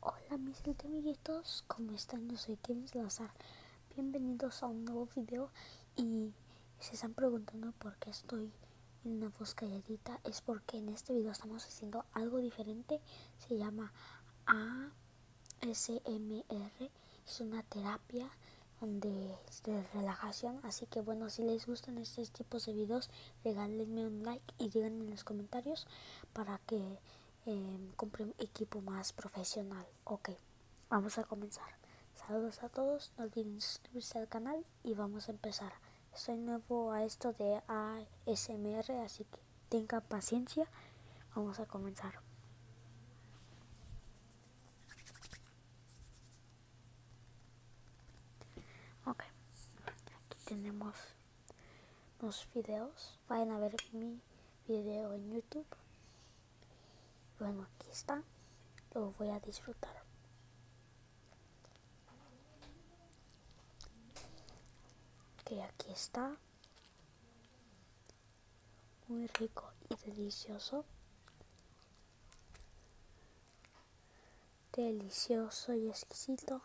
Hola mis amiguitos, ¿cómo están? Yo soy Kevin Lazar Bienvenidos a un nuevo video y se están preguntando por qué estoy en una voz calladita. Es porque en este video estamos haciendo algo diferente. Se llama ASMR. Es una terapia de, de relajación. Así que bueno, si les gustan estos tipos de videos, regálenme un like y díganme en los comentarios para que em, compre un equipo más profesional. Ok, vamos a comenzar. Saludos a todos, no olviden suscribirse al canal y vamos a empezar. Soy nuevo a esto de ASMR, así que tengan paciencia. Vamos a comenzar. Ok, aquí tenemos los videos. Vayan a ver mi video en YouTube. Bueno, aquí está. Lo voy a disfrutar. Que aquí está. Muy rico y delicioso. Delicioso y exquisito.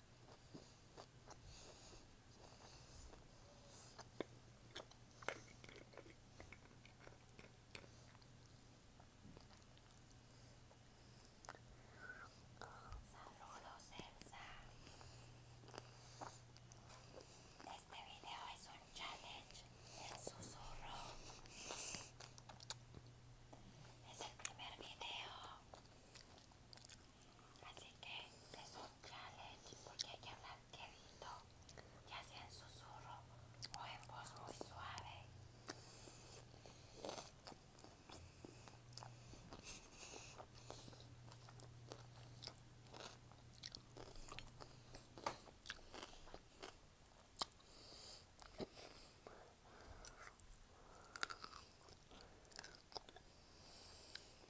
Saludos Elsa. Este video es un challenge el susurro. Es el primer video Así que es un challenge porque hay que hablar quedito, ya sea en susurro o en voz muy suave.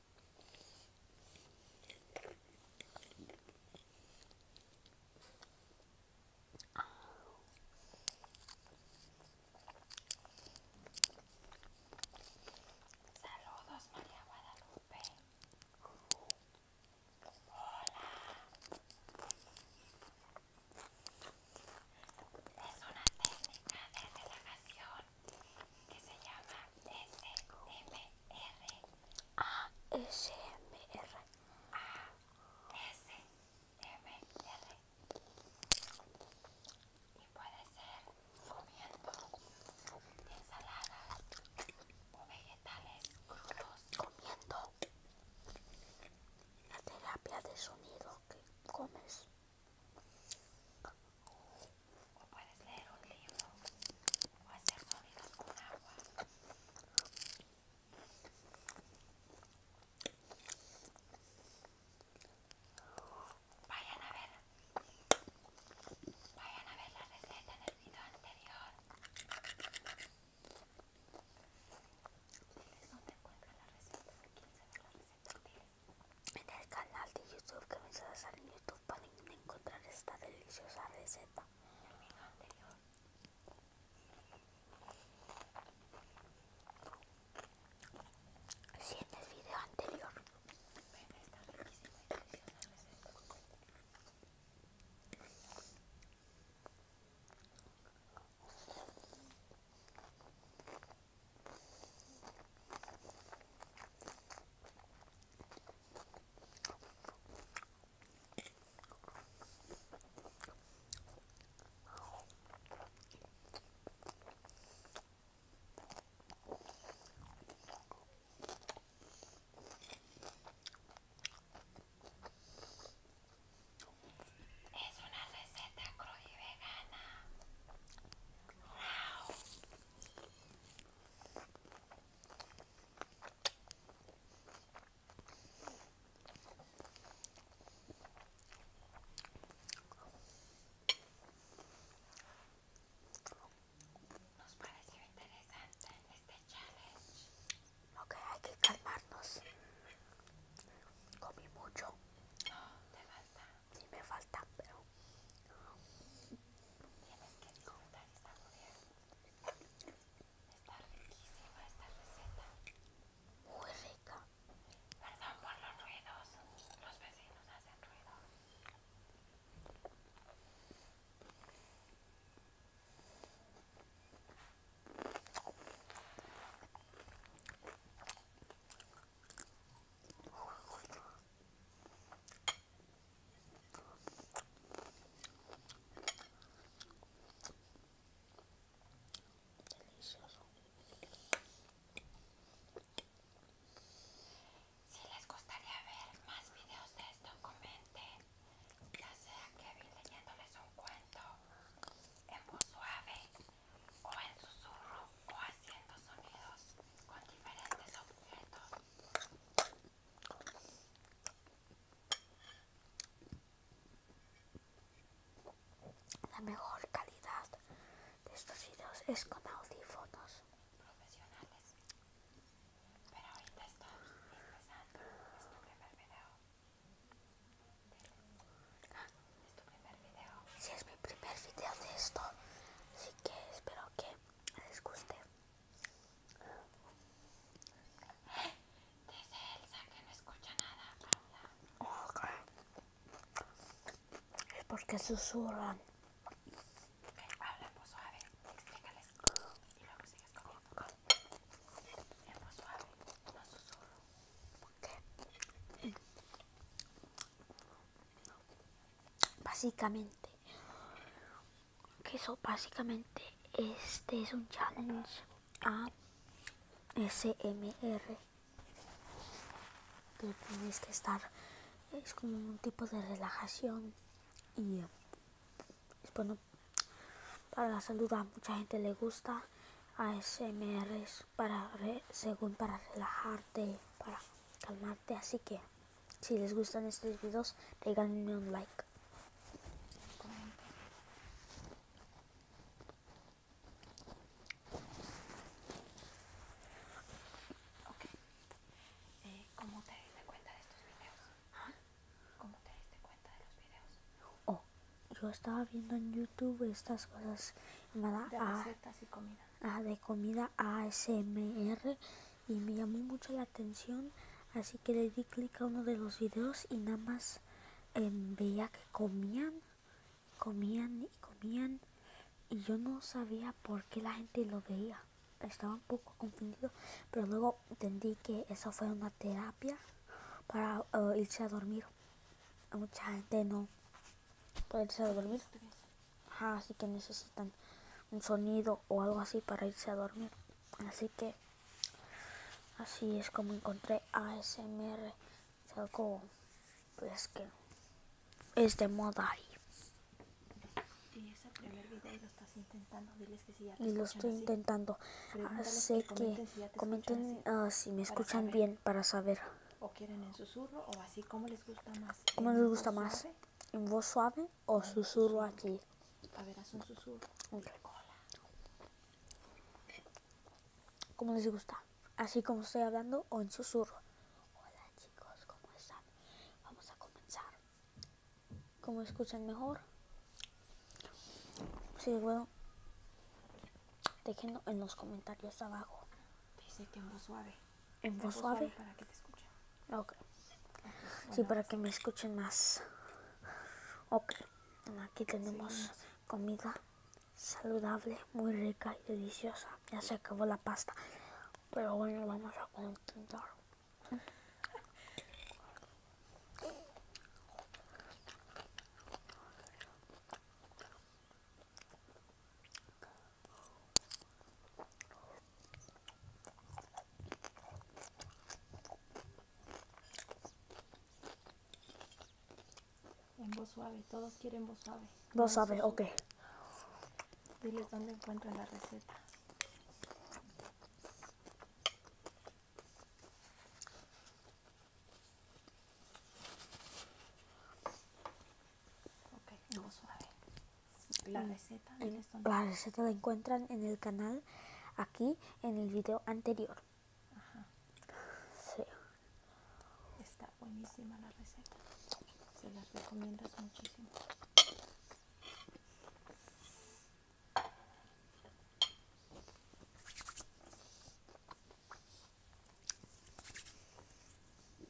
Saludos María Guadalupe. Hola. Es una técnica de relajación que se llama SMR. ASMR. ASMR. Y puede ser comiendo ensaladas o vegetales crudos. Comiendo. La terapia de sonido que comes. O puedes leer un libro o hacer sonidos con agua. Vayan a ver. Vayan a ver la receta en el video anterior. Diles dónde encuentran la receta. ¿Quieren sabe la receta? en el canal de YouTube que me sale en YouTube para encontrar esta deliciosa receta. Si en el video anterior es una receta cruda y vegana. ¡Wow! Nos pareció interesante este challenge. Ok, hay que calmarnos. Comí mucho. No, te si me falta, pero tienes que disfrutar esta bien Está riquísima esta receta. Muy rica. Perdón por los ruidos. Los vecinos hacen ruido. Si les gustaría ver más videos de esto, comenten. Ya sea Kevin leyéndoles un cuento en voz suave o en susurro o haciendo sonidos con diferentes objetos. La mejor calidad de estos videos es con audífonos profesionales. Pero ahorita estamos empezando. Es tu primer video. Ah, es tu primer video. Si es mi primer video de esto, así que espero que les guste. Dice Elsa que no escucha nada, Paula. Es porque susurran. ok habla en voz suave, explícales. Y luego sigues comiendo. En voz suave, no susurro. ¿Qué? Básicamente, que eso básicamente este es un challenge a SMR que tienes que estar es como un tipo de relajación y bueno para la salud a mucha gente le gusta a es para según para relajarte para calmar Así que, si les gustan estos videos, reganenle un like. Eh, ¿Cómo te diste cuenta de estos videos? ¿Ah? ¿Cómo te diste cuenta de los videos? Oh, yo estaba viendo en YouTube estas cosas. Y ah. recetas y comida de comida ASMR y me llamó mucho la atención así que le di clic a uno de los videos y nada más em, veía que comían comían y comían y yo no sabía por qué la gente lo veía estaba un poco confundido pero luego entendí que eso fue una terapia para eh, irse a dormir mucha gente no puede irse a dormir así que necesitan un sonido o algo así para irse a dormir. Así que así es como encontré ASMR. Es algo pues que es de moda y, y lo estoy intentando, así. Ah, que, comenten si, ah, me escuchan bien para saber. O quieren en susurro o así como les gusta más. ¿Cómo les gusta más? ¿En voz suave o susurro aquí? A ver, haz un susurro. ¿Cómo les gusta? ¿Así como estoy hablando o en susurro? Hola chicos, ¿cómo están? Vamos a comenzar. ¿Cómo escuchan mejor? Sí, bueno. Déjenlo en los comentarios abajo. Dice que en voz suave en voz pues, suave. Para que Sí, para que me escuchen más. Ok. Aquí tenemos comida saludable, muy rica y deliciosa. Ya se acabó la pasta. Pero bueno, vamos a continuar. En voz suave, todos quieren voz suave. Voz suave, ok. Diles dónde encuentran la receta. Okay, en voz suave. La mm. receta, la receta la encuentran en el canal aquí en el vídeo anterior. Ajá. Está buenísima la receta. Se la recomiendo muchísimo.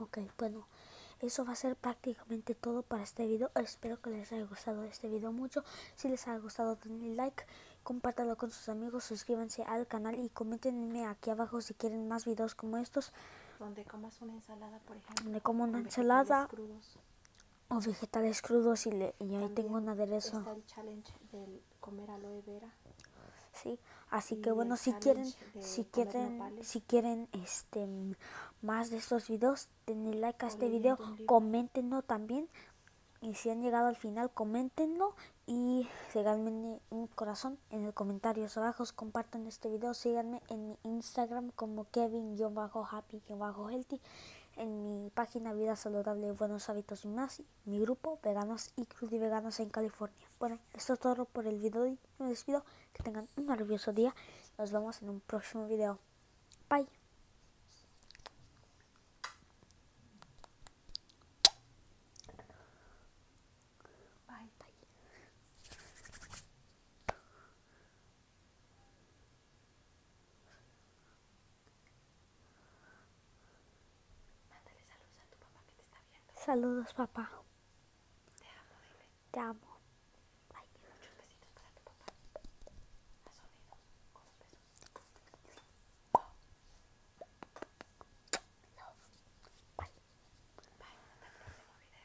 Ok, bueno, eso va a ser prácticamente todo para este video. Espero que les haya gustado este video mucho. Si les ha gustado, denle like, compártalo con sus amigos, suscríbanse al canal y coméntenme aquí abajo si quieren más videos como estos. Donde comas una ensalada, por ejemplo. Donde como una ensalada. O vegetales crudos y, y ahí tengo un aderezo comer aloe vera. Sí, así que bueno, si quieren, si quieren, si quieren este más de estos videos, denle like a este video, coméntenlo también. Y si han llegado al final, coméntenlo y regálenme un corazón en los comentarios abajo. Compartan este video, síganme en mi Instagram como Kevin-Happy-Healthy, en mi página Vida Saludable Buenos Hábitos Más mi grupo Veganos y veganos en California. Bueno, esto es todo por el video y me despido. Que tengan un maravilloso día. Nos vemos en un próximo video. Bye. Mándale saludos a tu papá que te está viendo. Saludos, papá. Te amo, Te amo. muchos besitos para tu papá. Bye. Bye. Hasta el próximo video.